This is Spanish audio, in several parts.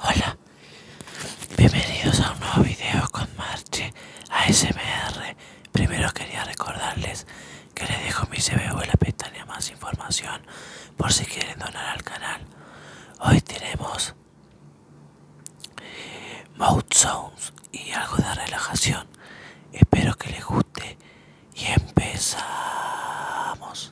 Hola, bienvenidos a un nuevo video con Marche ASMR. Primero quería recordarles que les dejo mi CBU en la pestaña más información por si quieren donar al canal. Hoy tenemos mouth sounds y algo de relajación. Espero que les guste y empezamos.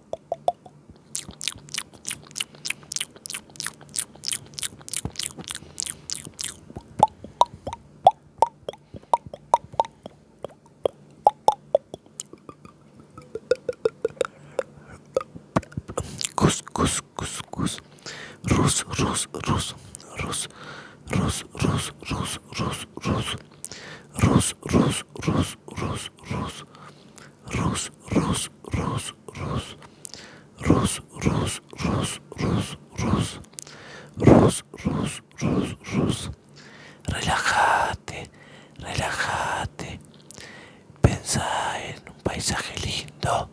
Cus, cus, cus, cus. Russo, russo, russo, russo, russo, russo, russo, russo, russo, russo, russo, russo, russo, Rus, Rus, Rus, Rus, Rus, Rus, Rus, Rus, Rus, Rus, Rus, Rus, Rus, Rus, Relájate, relájate. piensa en un paisaje lindo,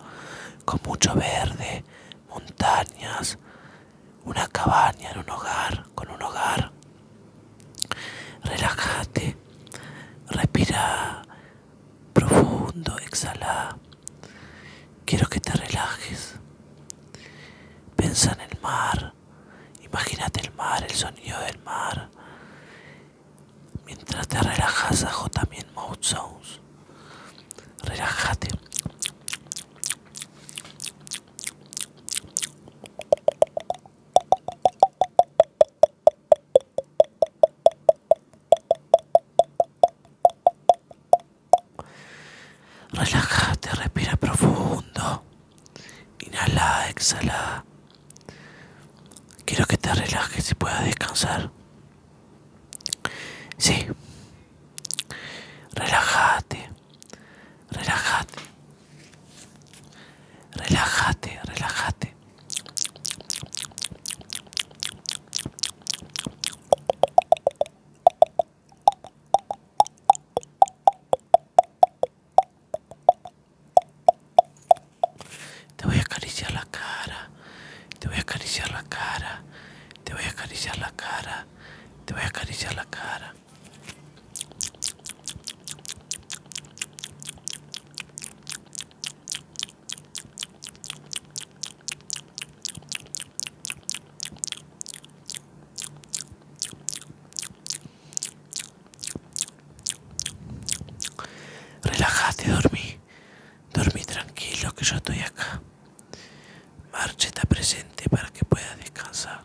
con mucho verde, montañas, una cabaña en un hogar, con un hogar. Relájate, respira profundo, exhala. Quiero que te relajes. Piensa en el mar, imagínate el mar, el sonido del mar. Mientras te relajas, bajo también mouth sounds. Relájate. Relájate, respira profundo. Inhala, exhala. Quiero que te relajes y puedas descansar. Sí. Relájate. Relájate. Relájate, relájate. Te voy a acariciar la cara, te voy a acariciar la cara, te voy a acariciar la cara, te voy a acariciar la cara. Relájate, dormí. Dormí tranquilo que yo estoy acá. Marche está presente para que pueda descansar.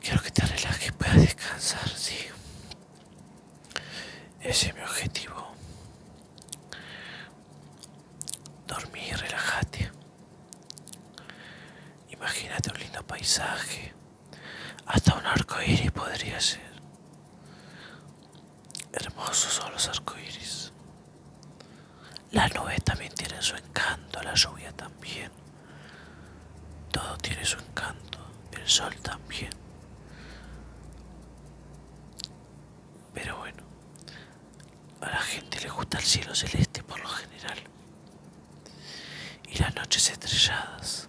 Quiero que te relajes puedas descansar, sí. Ese es mi objetivo. Dormí y relájate. Imagínate un lindo paisaje. Hasta un arco iris podría ser. Hermosos son los arcoíris. las nubes también tienen su encanto, la lluvia también. Todo tiene su encanto, el sol también. Pero bueno, a la gente le gusta el cielo celeste por lo general. Y las noches estrelladas.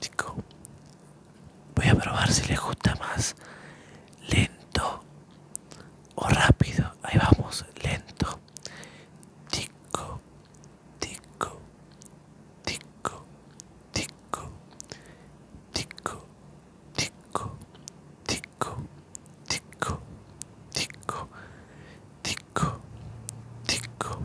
Tico, voy a probar si le gusta más lento o rápido ahí vamos lento tico tico tico tico tico tico tico tico tico tico tico tico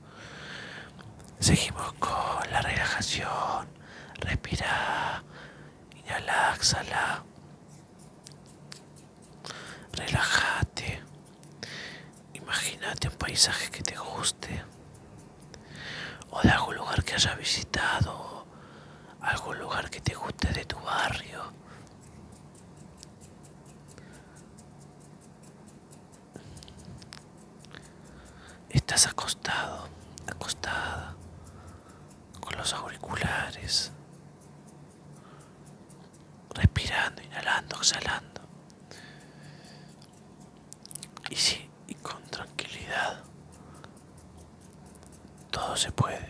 Seguimos con la relajación. Respira. Inhala, exhala. Relájate. Imagínate un paisaje que te guste. O de algún lugar que hayas visitado. Algún lugar que te guste de tu barrio. Estás acostado, acostada, con los auriculares, respirando, inhalando, exhalando. Y sí, y con tranquilidad, todo se puede.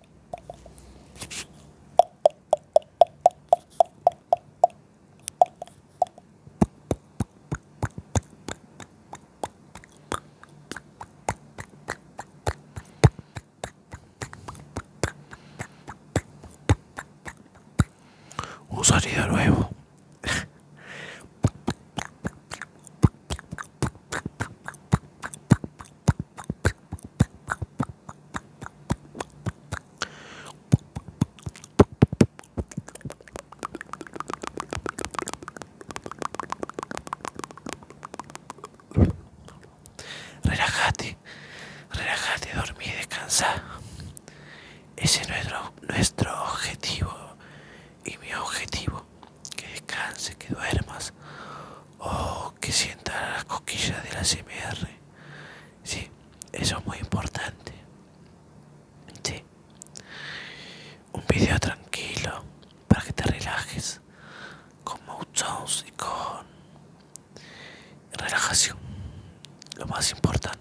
Un sonido nuevo. Relájate, relájate, dormí y descansa. Ese es nuestro objetivo y mi objetivo que descanse, que duermas o oh, que sientas las cosquillas de la CMR. Sí, eso es muy importante. Un video tranquilo para que te relajes con motions y con relajación. Lo más importante.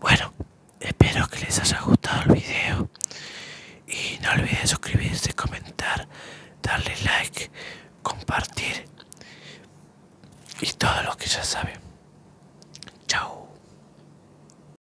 Bueno, espero que les haya gustado el video y no olviden suscribirse, comentar, darle like, compartir y todo lo que ya saben. Chao.